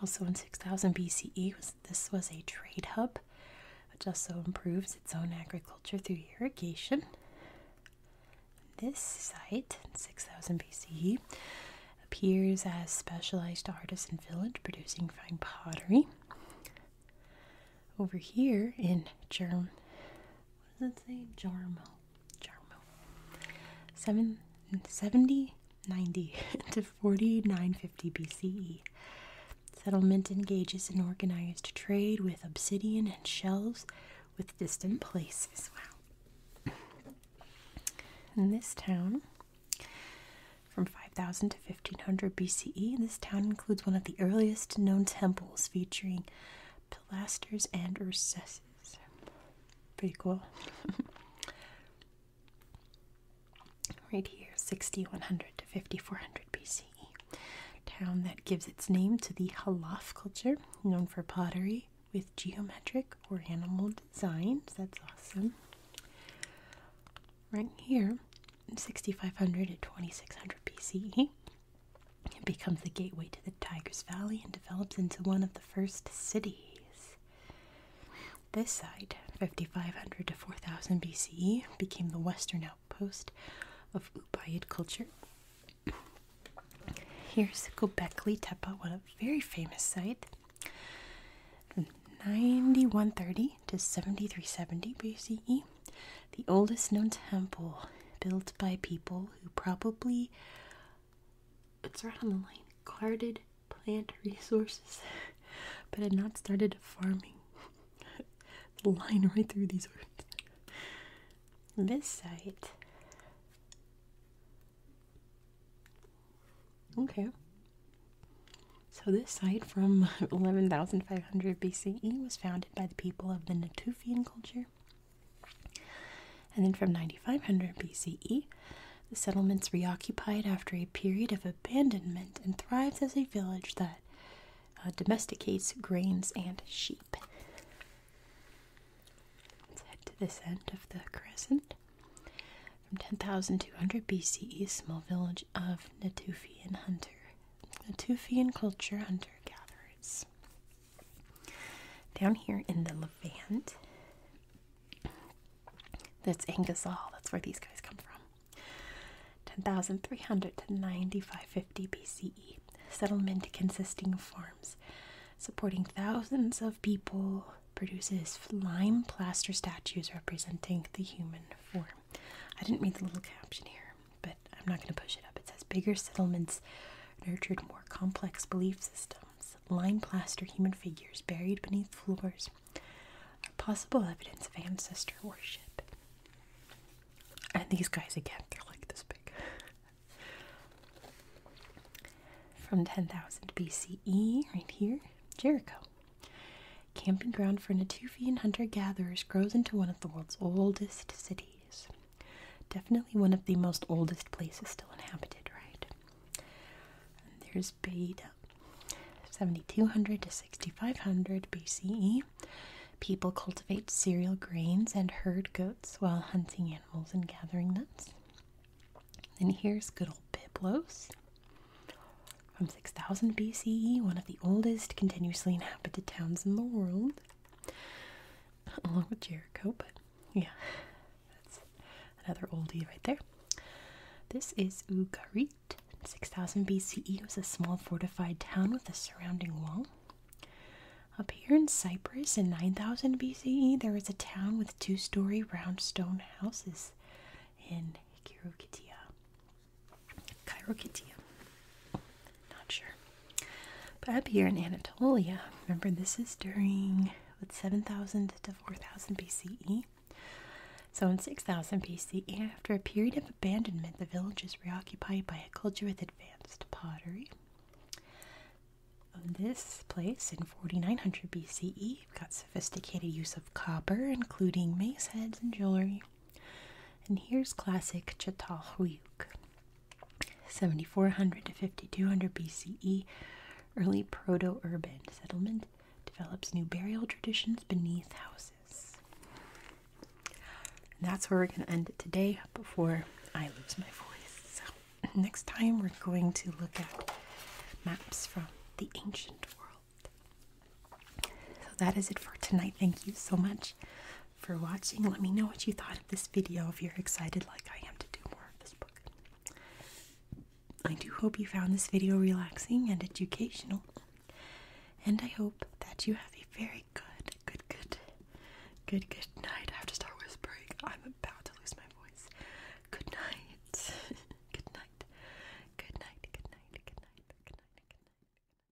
Also in 6000 BCE, was, this was a trade hub, which also improves its own agriculture through irrigation. This site 6000 BCE appears as specialized artisan village producing fine pottery. Over here in Germ, what does it say? Jarmo, Jarmo. Seven seventy ninety to forty nine fifty BCE. Settlement engages in organized trade with obsidian and shells with distant places. Wow. In this town, from 5000 to 1500 BCE, this town includes one of the earliest known temples featuring pilasters and recesses. Pretty cool. right here, 6100 to 5400 BCE. Town that gives its name to the Halaf culture, known for pottery with geometric or animal designs. That's awesome. Right here, 6500 to 2600 BCE. It becomes the gateway to the Tigris Valley and develops into one of the first cities. This site, 5500 to 4000 BCE, became the western outpost of Ubaid culture. Here's Gobekli Tepe, what a very famous site. 9130 to 7370 BCE the oldest known temple built by people who probably it's right on the line guarded plant resources but had not started farming. the line right through these This site. Okay. So this site from 11,500 500 BCE was founded by the people of the Natufian culture. And then from 9500 BCE, the settlements reoccupied after a period of abandonment and thrives as a village that uh, domesticates grains and sheep. Let's head to this end of the crescent. From 10,200 BCE, small village of Natufian hunter the Tufian culture hunter gatherers. Down here in the Levant, that's Angazal, that's where these guys come from. 10,300 to 9550 BCE. Settlement consisting of farms, supporting thousands of people, produces lime plaster statues representing the human form. I didn't read the little caption here, but I'm not going to push it up. It says bigger settlements nurtured more complex belief systems, Lime plaster human figures buried beneath floors, possible evidence of ancestor worship. And these guys again, they're like this big. From 10,000 BCE, right here, Jericho. Camping ground for Natufian hunter gatherers grows into one of the world's oldest cities. Definitely one of the most oldest places still inhabited, right? And there's Beida, 7200 to 6500 BCE. People cultivate cereal grains and herd goats while hunting animals and gathering nuts. Then here's good old Byblos from 6000 BCE, one of the oldest continuously inhabited towns in the world. along with Jericho, but yeah, that's another oldie right there. This is Ugarit. 6000 BCE was a small fortified town with a surrounding wall. Up here in Cyprus in 9000 BCE, there was a town with two story round stone houses in Kirokitia. Chirokitia. Not sure. But up here in Anatolia, remember this is during what, 7000 to 4000 BCE. So in 6000 BCE, after a period of abandonment, the village is reoccupied by a culture with advanced pottery. this place in 4900 BCE, got sophisticated use of copper, including mace heads and jewelry. And here's classic Chatahuryuk. 7400 to 5200 BCE, early proto urban settlement develops new burial traditions beneath houses. that's where we're going to end it today before I lose my voice. So, next time we're going to look at maps from the ancient world. So, that is it for tonight. Thank you so much for watching. Let me know what you thought of this video if you're excited like I am to do more of this book. I do hope you found this video relaxing and educational. And I hope that you have a very good, good, good, good, good night. I have to start with break. I'm about to lose my voice. Good night. Good night. Good night. Good night. Good night. Good night.